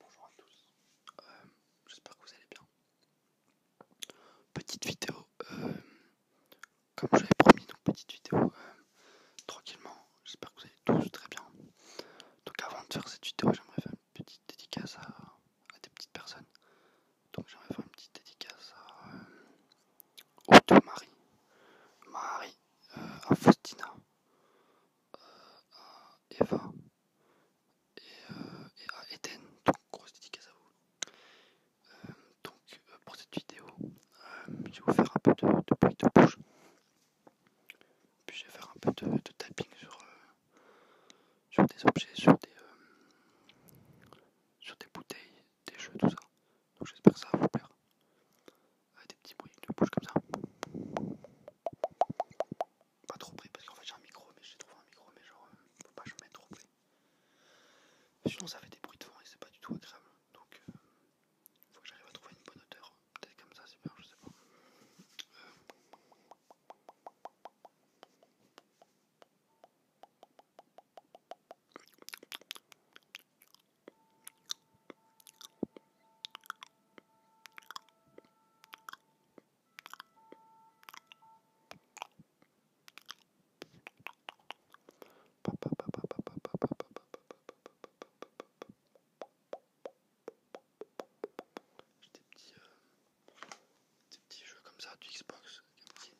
Bonjour à tous, euh, j'espère que vous allez bien. Petite vidéo, euh, comme je l'avais promis, donc petite vidéo euh, tranquillement. J'espère que vous allez tous très bien. Donc, avant de faire cette vidéo, j'aimerais faire une petite dédicace à, des petites personnes. Donc, j'aimerais faire une petite dédicace à Otto, Marie, Marie, à Faustina, à Eva et, à euh, euh, Eden. Donc, grosse dédicace à vous. Euh, donc, pour cette vidéo, je vais vous faire un peu de, bruit de bouche. Puis, je vais faire un peu de, tapping sur, sur des objets, sur des, sur des bouteilles, des jeux, tout ça. Donc, j'espère que ça va vous plaire. avec des petits bruits de bouche comme ça pas trop près parce qu'en fait j'ai un micro mais j'ai trouvé un micro mais genre euh, faut pas que je trop près sinon ça fait des bruits de vent et c'est pas du tout agréable donc il euh, faut que j'arrive à trouver une bonne hauteur peut-être comme ça c'est bien je sais pas j'ai des petits, euh, des petits jeux comme ça du Xbox,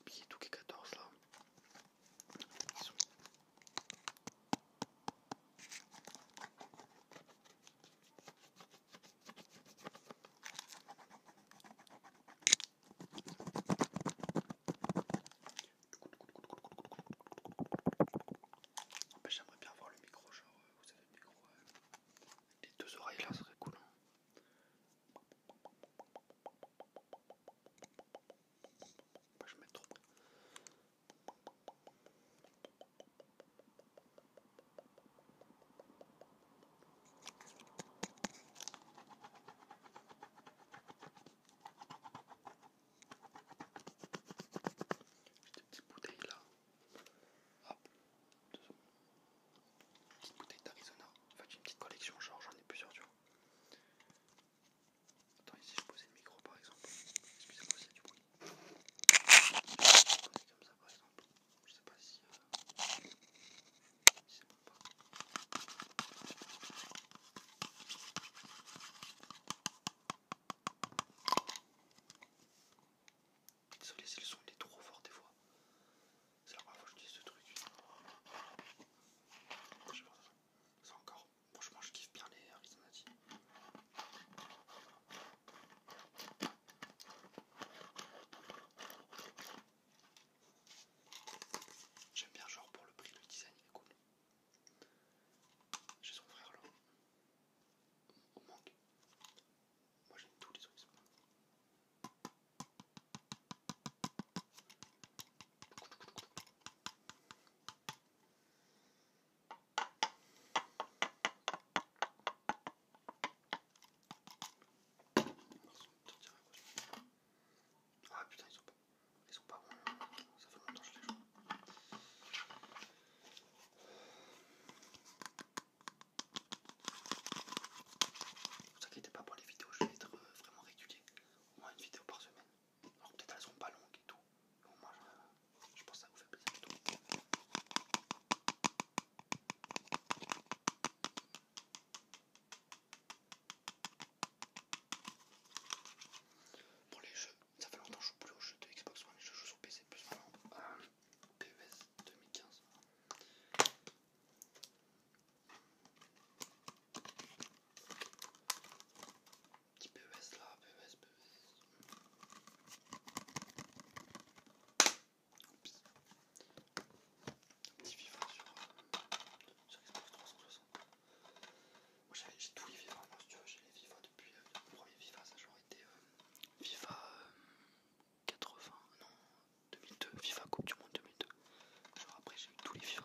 des 14 là j'aimerais bien voir le micro, genre euh, vous avez le micro euh, les deux oreilles là, ça serait cool. Hein. je j'ai des petites bouteilles là. Hop. Petite bouteille d'Arizona. En fait, j'ai une petite collection, genre j'en ai plusieurs, tu vois. Attends, ici je pose le micro par exemple. Excusez-moi ça du bruit. Je comme ça par exemple. Je sais pas si. Euh, c'est bon ça pas. Désolé si le son il est trop fort des fois. C'est la première fois que je dis ce truc. Je sais encore Franchement, je kiffe bien les dit. J'aime bien, genre pour le prix, le design est cool. J'ai son frère là, au manque. Moi j'aime tous les coucou. Ah putain, ils sont pas, ils sont pas bon. Ça fait longtemps que je les joue. Ne vous inquiétez pas pour les vidéos, je vais être euh, vraiment régulier, au moins une vidéo par semaine. Alors peut-être elles sont pas longues et tout. moi, je, pense que ça vous fait plaisir plutôt. Pour les jeux, ça fait longtemps que je joue plus aux jeux de Xbox One, je joue sur PC plus ou moins. PES 2015. Petit PES là, PES, PES. Oups. petit FIFA sur, Xbox 360. Moi j'ai tous les FIFA, moi si tu veux, j'ai les FIFA depuis mon euh, le premier FIFA, ça genre été FIFA euh, euh, 80, non 2002, FIFA Coupe du Monde 2002. Genre après j'ai eu tous les FIFA.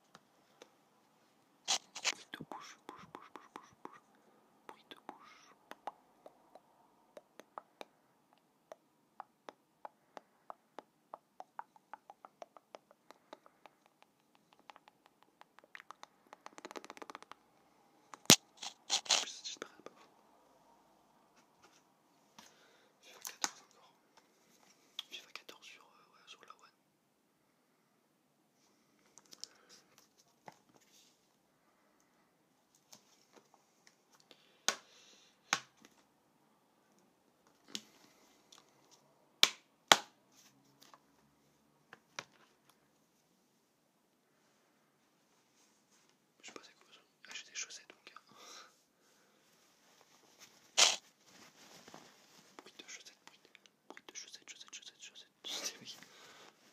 Bruit de bouche, bouche, bouche, bouche, bouche, bouche. Bruit de bouche. J'espère pas. 14 sur, euh, ouais, sur la One. Je sais pas c'est quoi ça. Ah, j'ai des chaussettes donc. Euh. Bruit de chaussette, bruit de, chaussette, chaussette, chaussette, chaussette.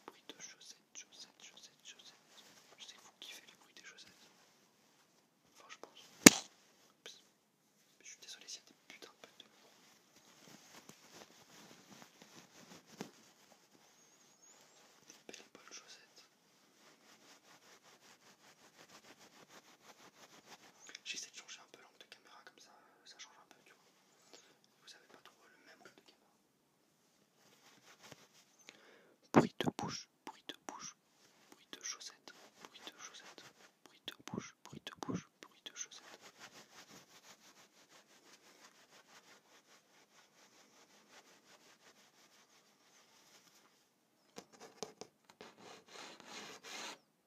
Bruit de chaussette, chaussette, chaussette, Je que vous kiffez le bruit des chaussettes. Enfin, je suis désolé s'il y a des putains de chaussettes de Des belles chaussettes. J'essaie de changer un peu de caméra, comme ça euh, ça change un peu, tu vois. Vous avez pas trop le même de caméra. Bruit de bouche, bruit de bouche, bruit de chaussette, bruit de chaussette, bruit de bouche, bruit de bouche, bruit de chaussette.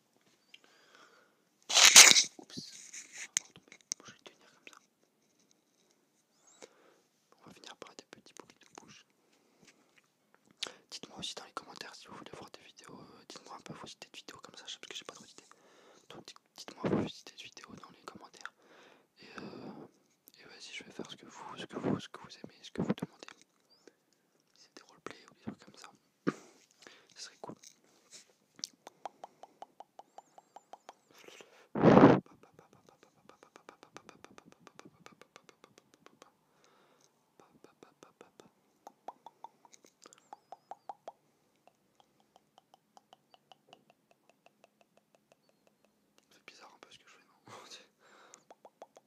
Oups, je vais tenir comme ça. On va finir par des petits bruits de bouche. Dites-moi aussi dans les commentaires si vous voulez voir des vidéos. Euh, dites-moi un peu vos idées de vidéos comme ça, parce que j'ai pas trop d'idées. Donc dites-moi vos idées de vidéos dans les commentaires. Et, euh, vas-y, je vais faire ce que vous, ce que vous, ce que vous aimez, ce que vous demandez. C'est des roleplays ou des trucs comme ça. Ce serait cool. C'est bizarre un peu ce que je fais, non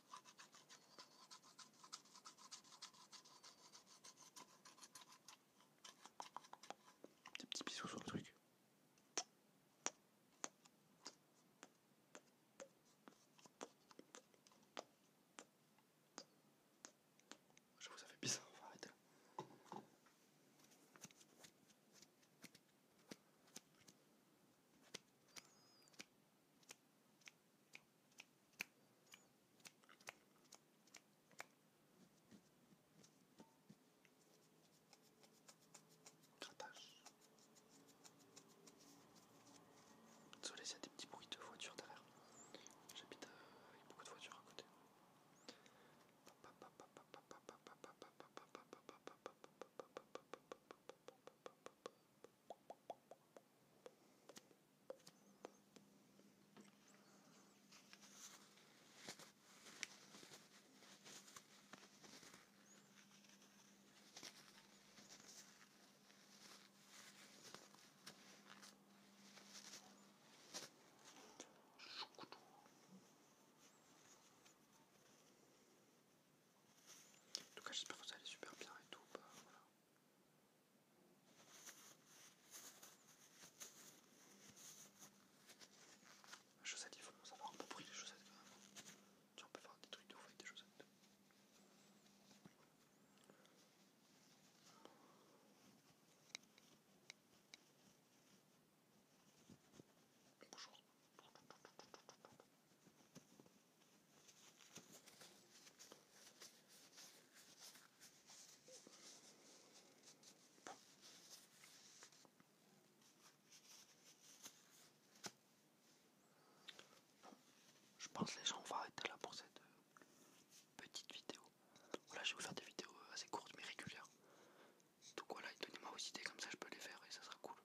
Des petits bisous sur le truc. Je vous avais bizarre, arrêtez. là. Grattage. Désolé il y a des petits bruits de voitures derrière. J'habite euh, avec beaucoup de voitures à côté. En tout cas, j'espère que vous allez super bien et tout. Bah, les chaussettes, il faut savoir un peu prix les chaussettes quand même. Tiens, on peut faire des trucs de ouvrir avec des chaussettes. Bonjour. Je pense les gens vont va arrêter là pour cette euh, petite vidéo. Voilà je vais vous faire des vidéos euh, assez courtes mais régulières. Donc voilà, donnez-moi vos idées comme ça je peux les faire et ça sera cool.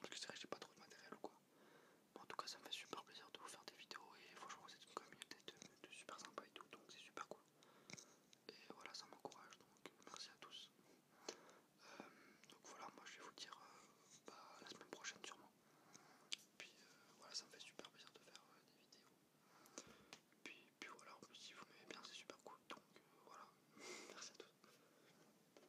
Parce que c'est vrai que j'ai pas trop de matériel ou quoi. en tout cas, ça me fait super plaisir de vous faire des vidéos et franchement, c'est une communauté de, super sympa et tout, donc c'est super cool. Et voilà, ça m'encourage donc merci à tous. Euh, donc voilà, moi je vais vous dire euh, bah, la semaine prochaine sûrement. Puis euh, voilà, ça me fait super plaisir de faire des vidéos. Puis, puis voilà, en plus, si vous m'aimez bien, c'est super cool. Donc voilà, merci à tous.